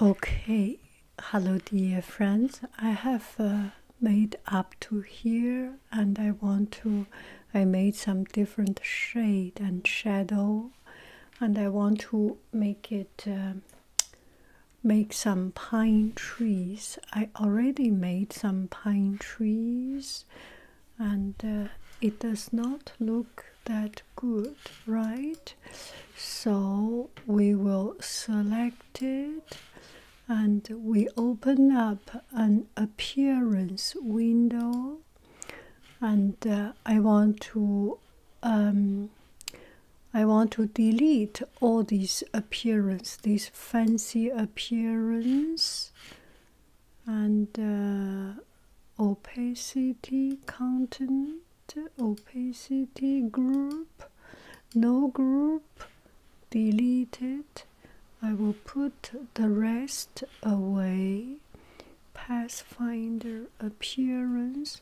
Okay, hello dear friends. I have uh, made up to here and I want to, I made some different shade and shadow and I want to make it, um, make some pine trees. I already made some pine trees and uh, it does not look that good, right? So we will select it and we open up an appearance window and uh, I want to um, I want to delete all these appearance, these fancy appearance and uh, opacity content opacity group no group deleted i will put the rest away pathfinder appearance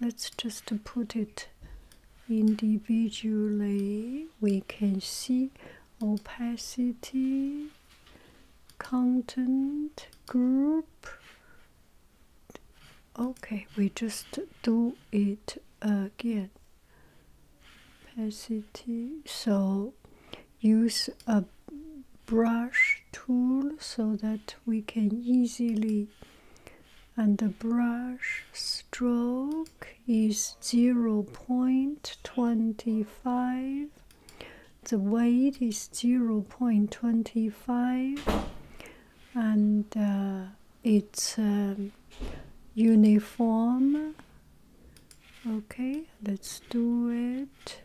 let's just put it individually we can see opacity content group Okay, we just do it again. Opacity. So use a brush tool so that we can easily and the brush stroke is 0.25 the weight is 0.25 and uh, it's um, uniform. Okay, let's do it.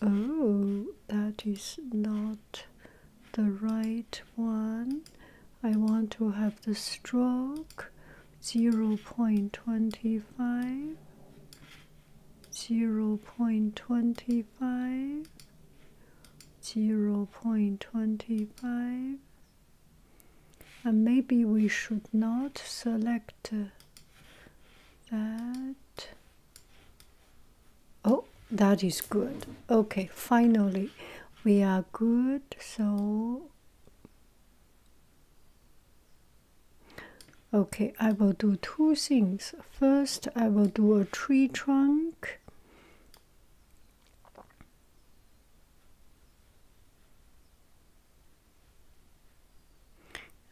Oh, that is not the right one. I want to have the stroke 0.25. 0 0.25 0.25 and maybe we should not select uh, that oh that is good okay finally we are good so Okay, I will do two things. First, I will do a tree trunk.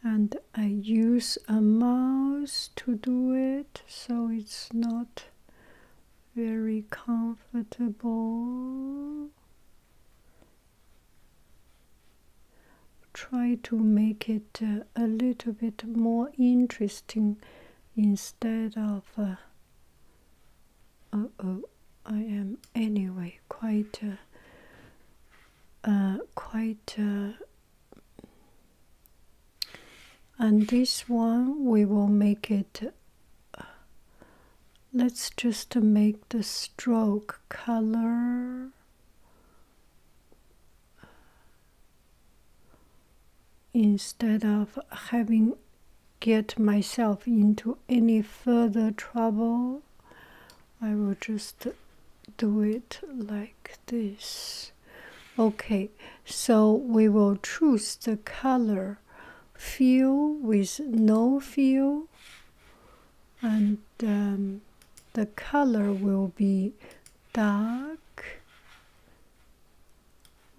And I use a mouse to do it, so it's not very comfortable try to make it uh, a little bit more interesting instead of uh, uh, oh i am anyway quite quite and this one we will make it let's just make the stroke color instead of having get myself into any further trouble i will just do it like this okay so we will choose the color fill with no fill and um, the color will be dark.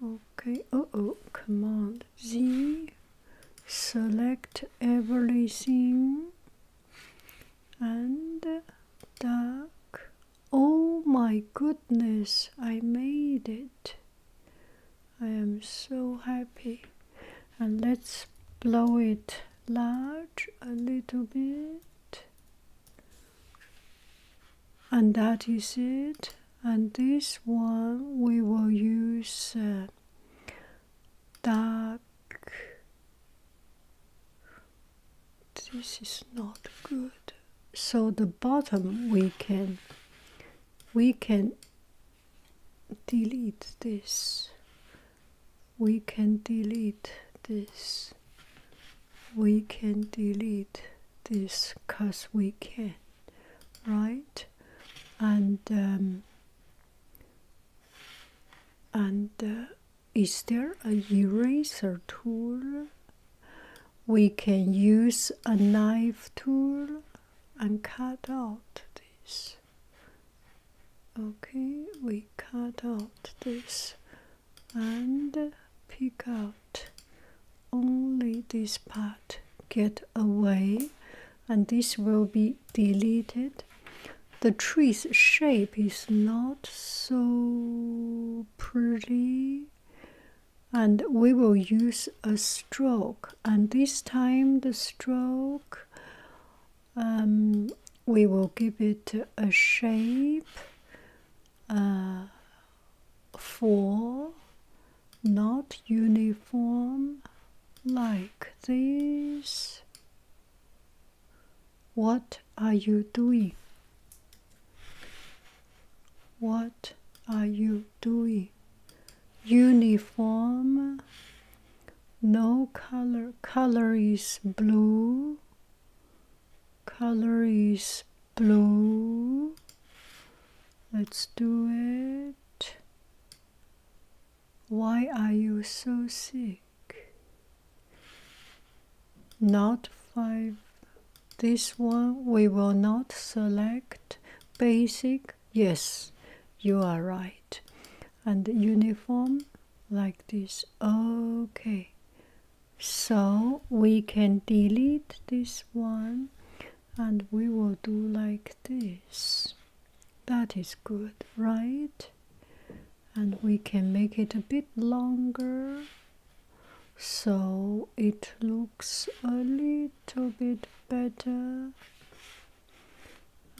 Okay, Oh oh, command Z, select everything and uh, dark. Oh my goodness, I made it. I am so happy. And let's blow it large a little bit, and that is it. And this one we will use uh, dark. This is not good. So the bottom we can we can delete this we can delete this. We can delete this because we can, right? And um, and uh, is there a eraser tool? We can use a knife tool and cut out this. Okay, we cut out this and pick out only this part, get away, and this will be deleted. The tree's shape is not so pretty, and we will use a stroke, and this time the stroke um, we will give it a shape uh, for not uniform like this. What are you doing? What are you doing? Uniform no color color is blue color is blue let's do it why are you so sick not five this one we will not select basic yes you are right right and uniform like this okay so we can delete this one and we will do like this that is good right and we can make it a bit longer so it looks a little bit better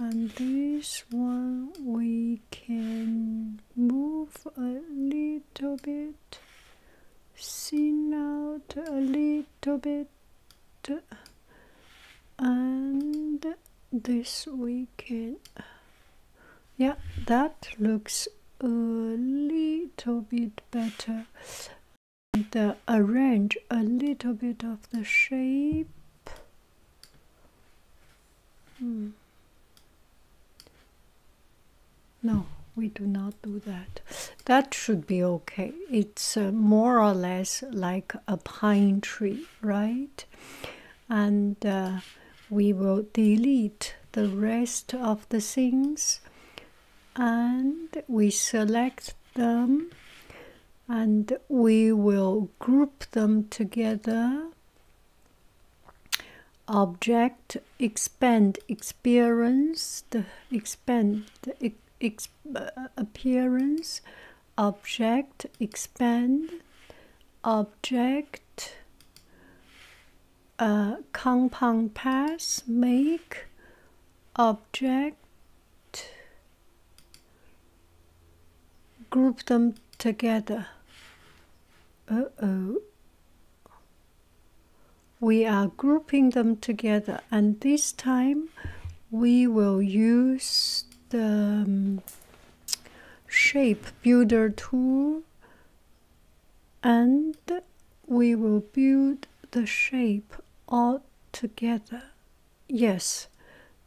and this one we can move a little bit thin out a little bit and this we can yeah that looks a little bit better and uh, arrange a little bit of the shape Hmm. No, we do not do that. That should be okay. It's uh, more or less like a pine tree, right? And uh, we will delete the rest of the things and we select them and we will group them together. Object, expand experience, the expand the uh, appearance, object, expand, object, uh, compound pass, make, object, group them together. Uh-oh. We are grouping them together and this time we will use the um, shape builder tool and we will build the shape all together Yes,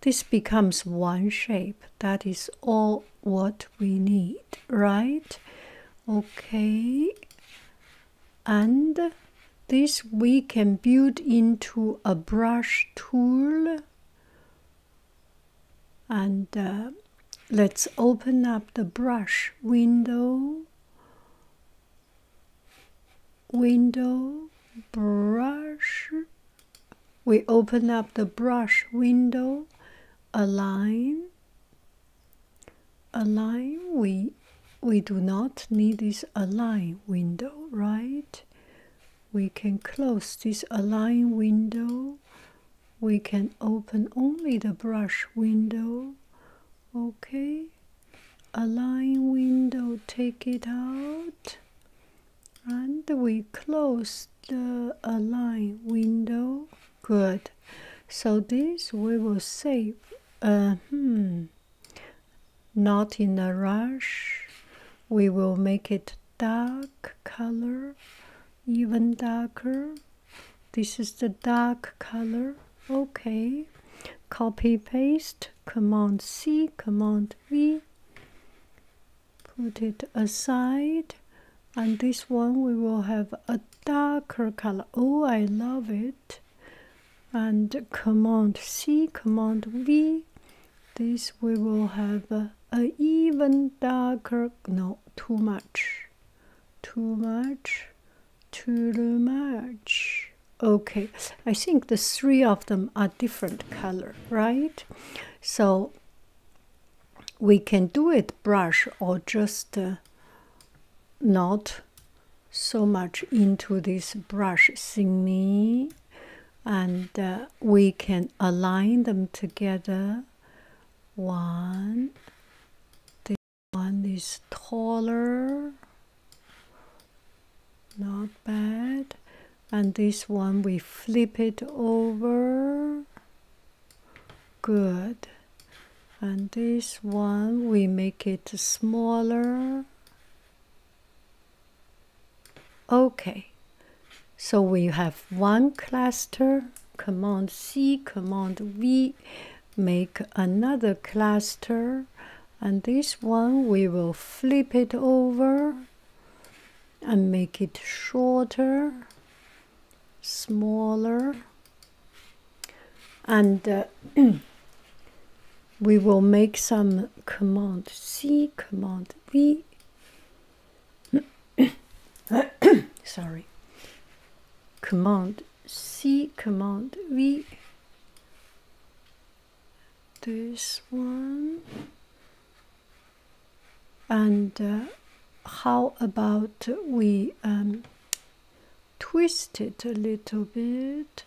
this becomes one shape. That is all what we need, right? Okay. And this we can build into a brush tool. And uh, let's open up the brush window window brush we open up the brush window align align we we do not need this align window right we can close this align window we can open only the brush window okay align window take it out and we close the align window good so this we will save uh, hmm. not in a rush we will make it dark color even darker this is the dark color okay copy paste Command C, Command V, put it aside. And this one we will have a darker color. Oh, I love it. And Command C, Command V. This we will have a, even darker. No, too much. Too much. Too much. Okay, I think the three of them are different color, right? So we can do it brush or just uh, not so much into this brush me, and uh, we can align them together one this one is taller not bad. And this one we flip it over. Good. And this one we make it smaller. Okay. So we have one cluster, Command C, Command V, make another cluster, and this one we will flip it over and make it shorter smaller and uh, we will make some command c command v sorry command c command v this one and uh, how about we um, twist it a little bit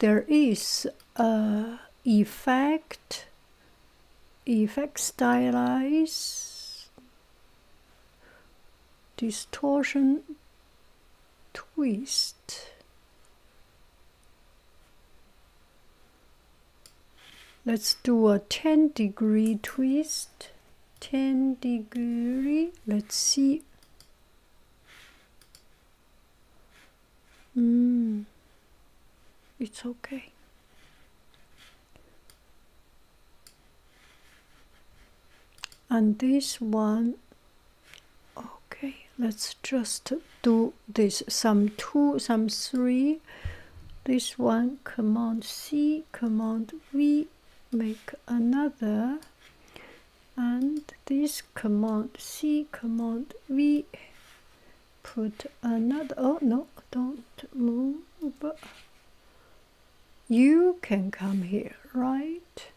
there is a effect effect stylize distortion twist let's do a 10 degree twist 10 degree let's see mm, it's okay and this one okay let's just do this some two some three this one command c command v make another and this command c command v put another oh no don't move you can come here right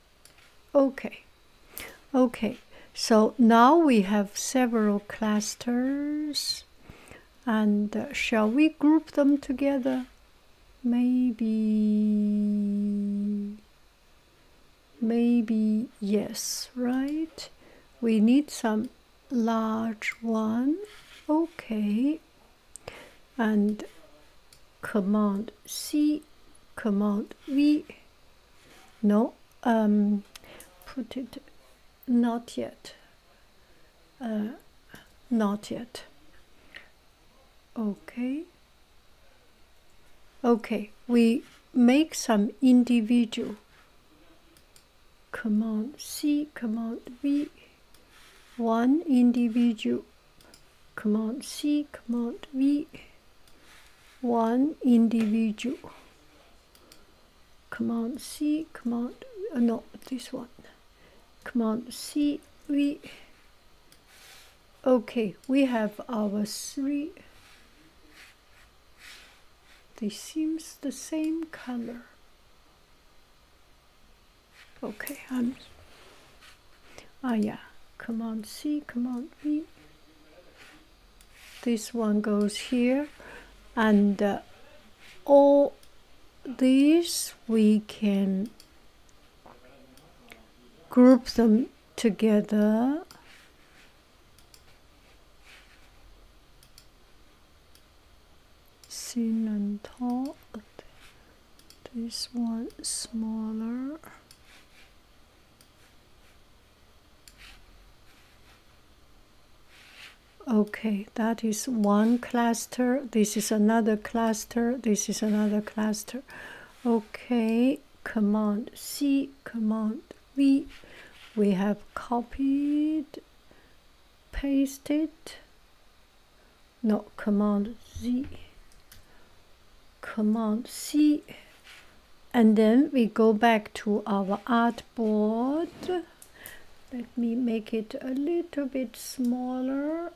Okay, okay. So now we have several clusters, and uh, shall we group them together? Maybe, maybe yes, right? We need some large one. Okay, and command C command V. No, um, put it not yet. Uh, not yet. Okay. Okay, we make some individual command C, command V, one individual command C, command V, one individual. Command C, command, uh, no, this one. Command C, V. Okay, we have our three. They seems the same color. Okay, I'm Ah, yeah, Command C, Command V. This one goes here, and uh, all these we can group them together. Sin and tall. This one smaller. Okay, that is one cluster. This is another cluster. This is another cluster. Okay, command C, command V. We have copied, pasted. No, command Z. Command C and then we go back to our artboard. Let me make it a little bit smaller.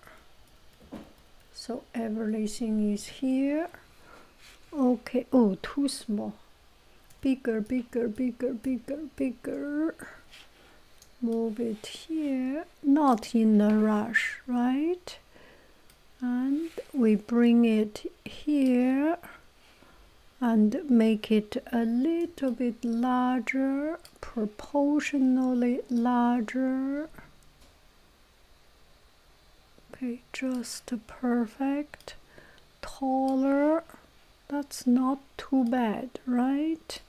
So everything is here. Okay, oh, too small. Bigger, bigger, bigger, bigger, bigger. Move it here. Not in a rush, right? and we bring it here and make it a little bit larger, proportionally larger. Okay, just perfect. Taller, that's not too bad, right?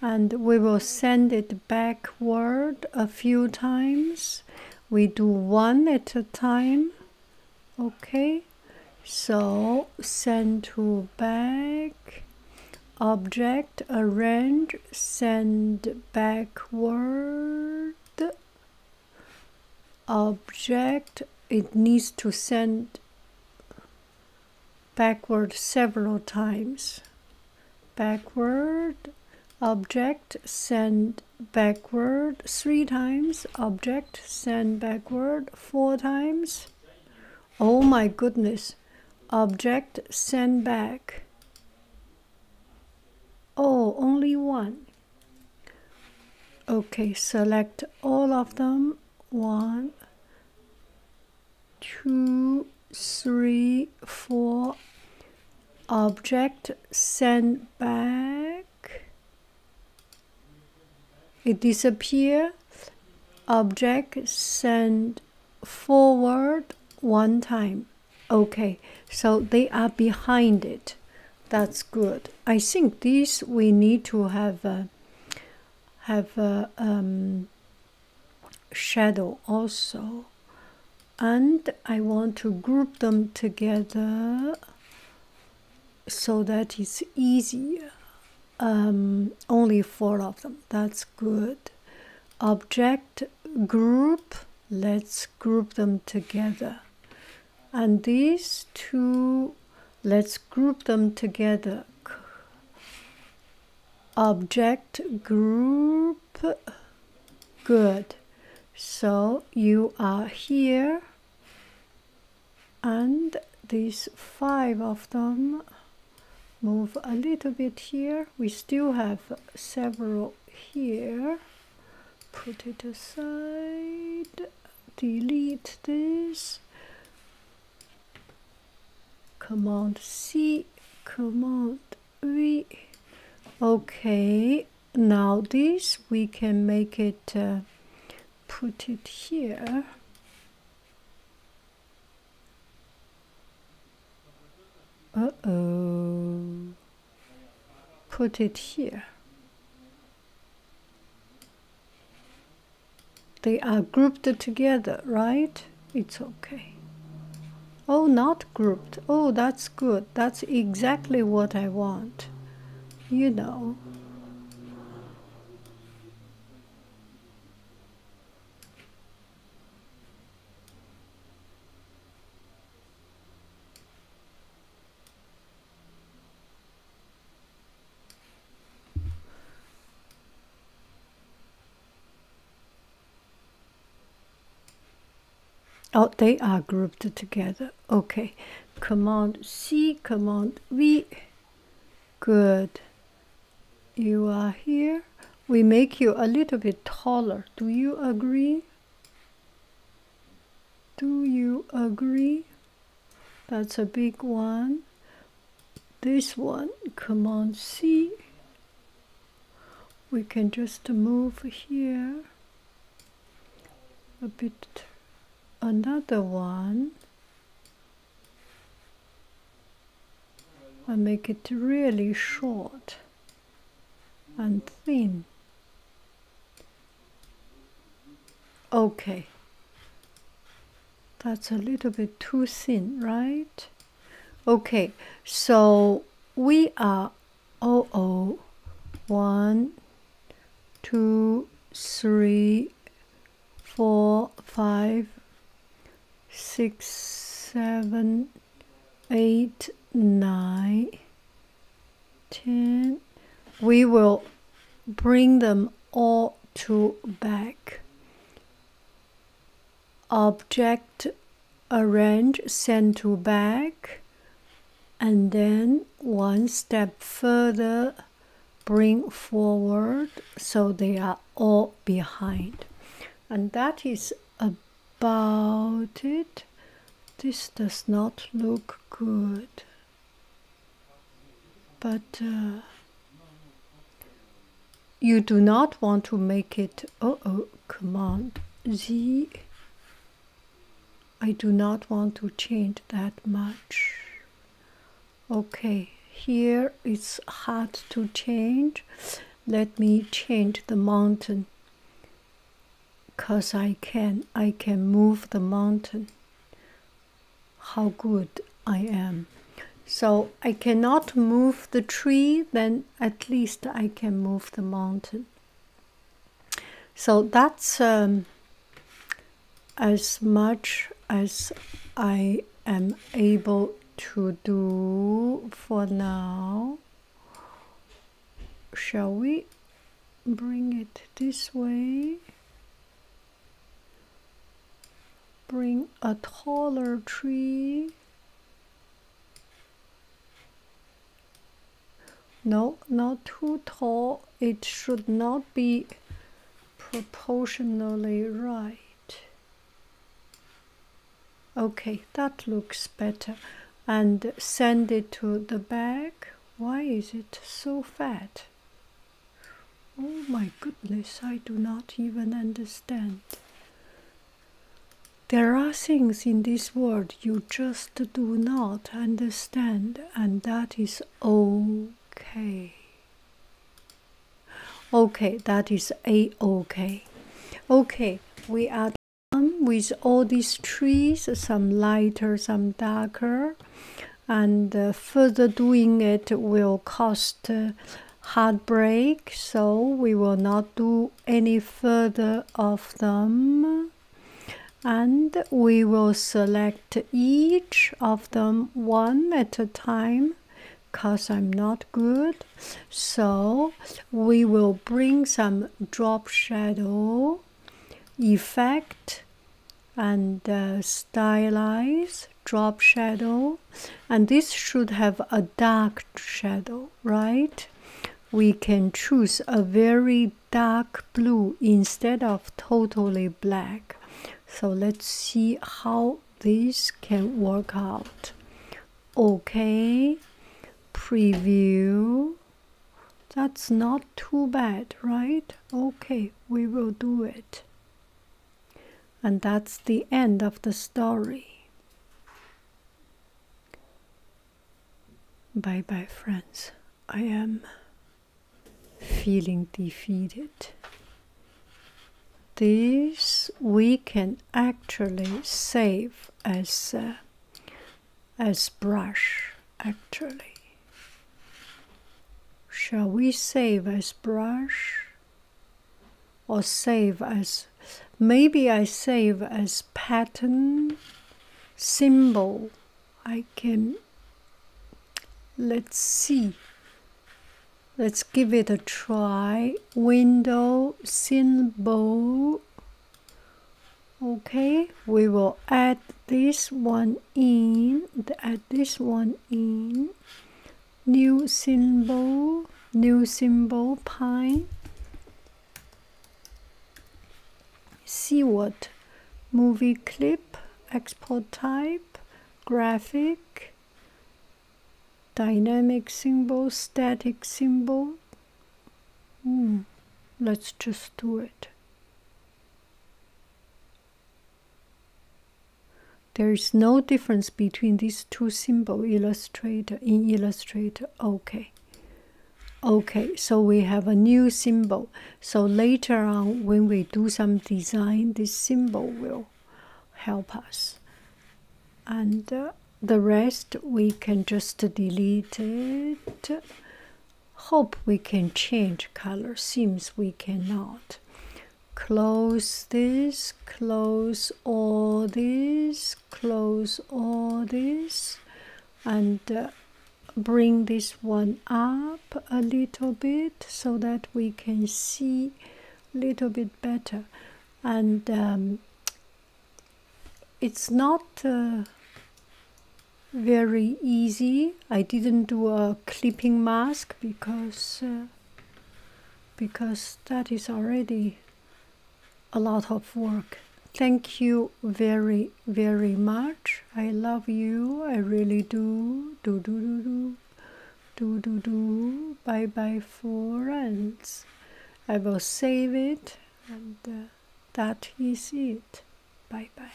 And we will send it back backward a few times. We do one at a time. Okay, so send to back, object, arrange, send backward, object, it needs to send backward several times backward object send backward three times object send backward four times oh my goodness object send back oh only one okay select all of them one two, three, four. Object sent back. It disappears. Object sent forward one time. Okay, so they are behind it. That's good. I think these we need to have a, have a, um, shadow also and I want to group them together so that it's easier um, only four of them that's good object group let's group them together and these two let's group them together object group good so you are here and these five of them move a little bit here we still have several here put it aside delete this Command C, Command V. Okay, now this we can make it, uh, put it here. Uh-oh, put it here. They are grouped together, right? it's okay oh not grouped oh that's good that's exactly what i want you know Oh, they are grouped together. Okay. Command C, Command V. Good. You are here. We make you a little bit taller. Do you agree? Do you agree? That's a big one this one command C we can just move here a bit another one and make it really short and thin okay that's a little bit too thin right Okay, so we are oh oh one two three four five six seven eight nine ten we will bring them all to back object arrange center back and then one step further bring forward so they are all behind and that is about it this does not look good but uh, you do not want to make it oh oh command z I do not want to change that much okay here it's hard to change let me change the mountain cause I can I can move the mountain how good I am. So I cannot move the tree, then at least I can move the mountain. So that's um, as much as I am able to do for now. Shall we bring it this way? Bring a taller tree. No, not too tall. It should not be proportionally right. Okay, that looks better. And send it to the back. Why is it so fat? Oh my goodness, I do not even understand. There are things in this world you just do not understand, and that is okay. Okay, that is a okay. Okay, we are done with all these trees, some lighter, some darker, and uh, further doing it will cost uh, heartbreak so we will not do any further of them and we will select each of them one at a time because i'm not good so we will bring some drop shadow effect and uh, stylize drop shadow and this should have a dark shadow right we can choose a very dark blue instead of totally black so let's see how this can work out okay preview that's not too bad right okay we will do it and that's the end of the story. Bye bye, friends. I am feeling defeated. This we can actually save as as brush. Actually, shall we save as brush? or save as maybe I save as pattern symbol. I can let's see. Let's give it a try. Window symbol. Okay, we will add this one in, add this one in new symbol new symbol pine seaward movie clip export type graphic dynamic symbol static symbol hmm, let's just do it there is no difference between these two symbols, illustrator, in illustrator. Okay. Okay, so we have a new symbol. So later on, when we do some design, this symbol will help us. And uh, the rest we can just delete it. Hope we can change color. Seems we cannot close this, close all this, close all this, and uh, bring this one up a little bit so that we can see a little bit better. And um, it's not uh, very easy I didn't do a clipping mask because uh, because that is already a lot of work. Thank you very very much. I love you. I really do. Do do do do. Do do do. Bye bye friends. I will save it and uh, that is it. Bye bye.